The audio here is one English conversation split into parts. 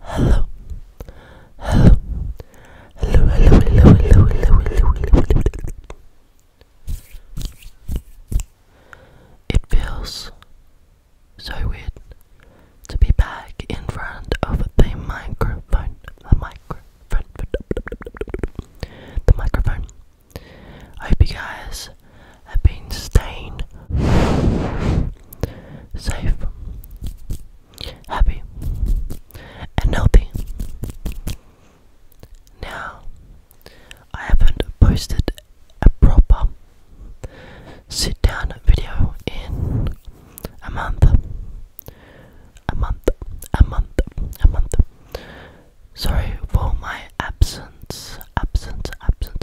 Hello. Hello. Hello, hello, hello, hello, hello, hello, hello. It feels so weird to be back in front of the microphone. The microphone. The microphone. I hope you guys have been staying safe happy, and healthy. Now, I haven't posted a proper sit down video in a month. A month, a month, a month. Sorry for my absence, absence, absence.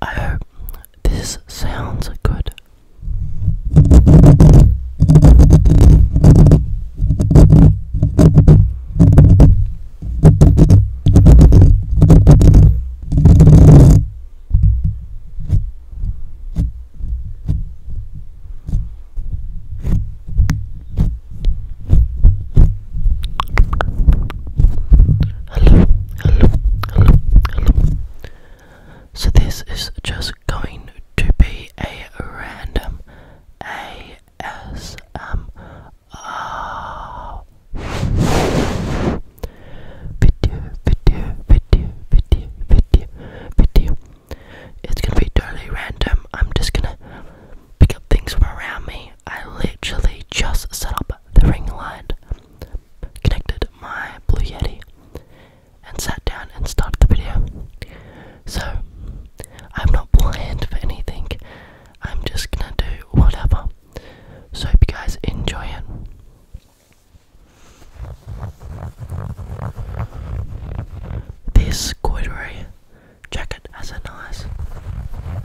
I hope this sounds good. Hello, hello, hello, hello. So this is just going to be a random ASMR Video, video, video, video, video, video. It's gonna be totally random. I'm just gonna pick up things from around me. I literally just set up the ring light, connected my Blue Yeti, and sat down and started the video. So, I'm not planned for anything. I'm just gonna do whatever. So hope you guys enjoy it. This corduroy jacket has a nice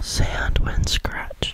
sound when scratched.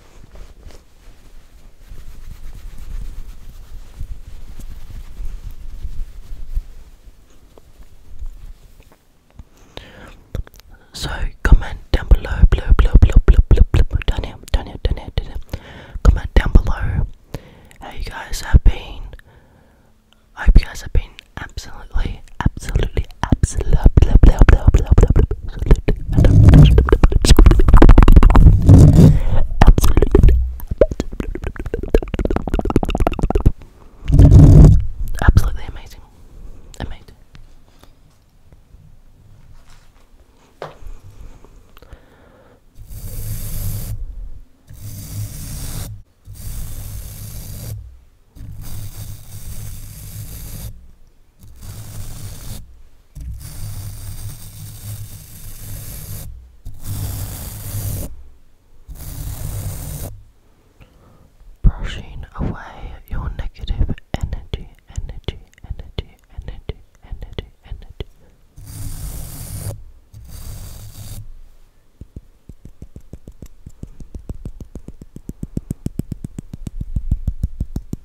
So comment down below, blue, blue, blue, blue, blue, down here, down here, down here, down here. Comment down below how you guys have been. I hope you guys have been absolutely, absolutely, absolutely, absolutely, absolutely, absolutely, amazing. Brushing away your negative energy, energy, energy, energy, energy, energy.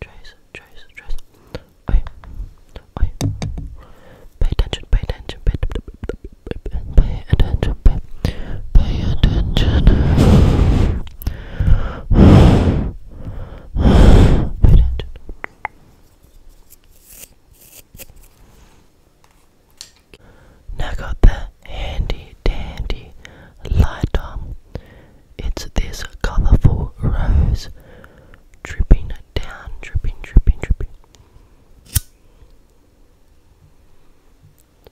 Trace, trace, trace. Oi, oi. Pay attention, pay attention, pay, attention, pay, attention. Pay attention. Now I got the handy dandy lighter. It's this colourful rose dripping down, dripping, dripping, dripping.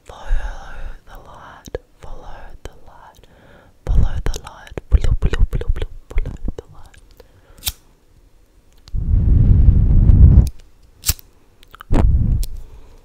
Follow the light, follow the light, follow the light, follow, follow, follow, follow, follow the light.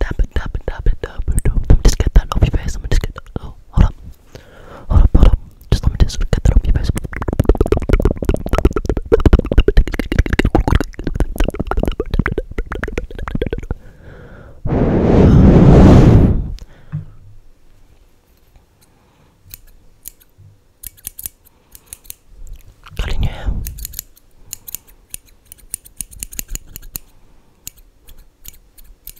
Tap it, tap it, tap it, tap it, tap it. Just get that off your face. I'm just get that. Oh, hold up. Hold up, hold up. Just let me just get that off your face. Cut your hair.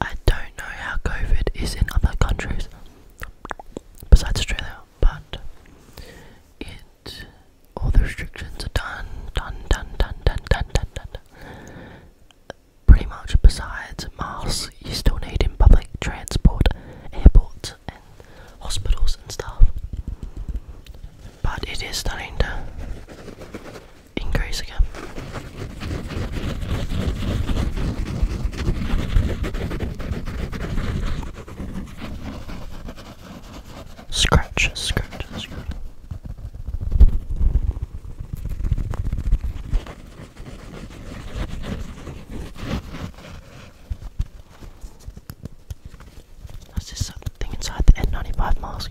I don't know how COVID is in other countries besides Australia, but it all the restrictions are done, done, done, done, done, done, done, done. Pretty much besides masks, you still need in public transport, airports, and hospitals and stuff. But it is starting to increase again. Scratch, scratch, scratch. That's just something inside the N95 mask.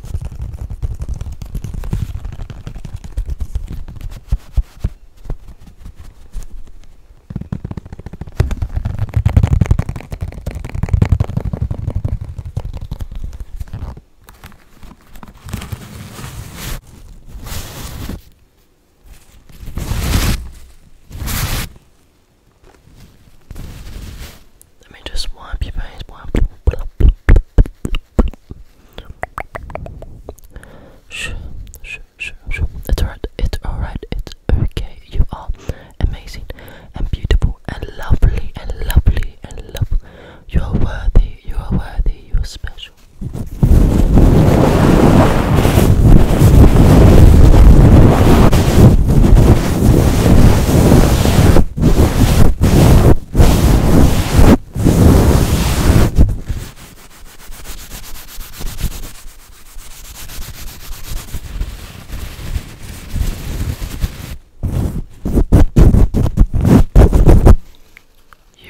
Let me just wipe your face. It's alright, it's alright, it's okay. You are amazing and beautiful and lovely and lovely and lovely. You are worthy, you are worthy, you are special. You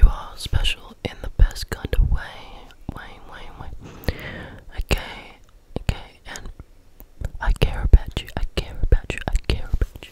are special in the best kind of way. Way, way, way. Okay, okay, and I care about you, I care about you, I care about you.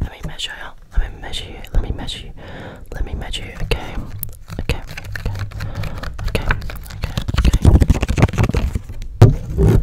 Let me measure you. Let me measure you. Let me measure you. Let me measure you. Okay. Okay. Okay. Okay. Okay. okay. Okay.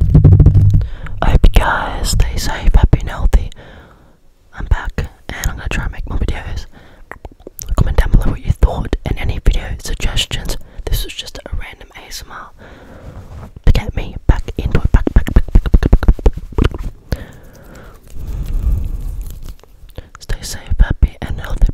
I hope you guys stay safe, happy and healthy. I'm back and I'm gonna try and make more videos. Comment down below what you thought and any video suggestions. This was just a random ASMR to get me back into back, back, back, back, back, back. Stay safe, happy and healthy.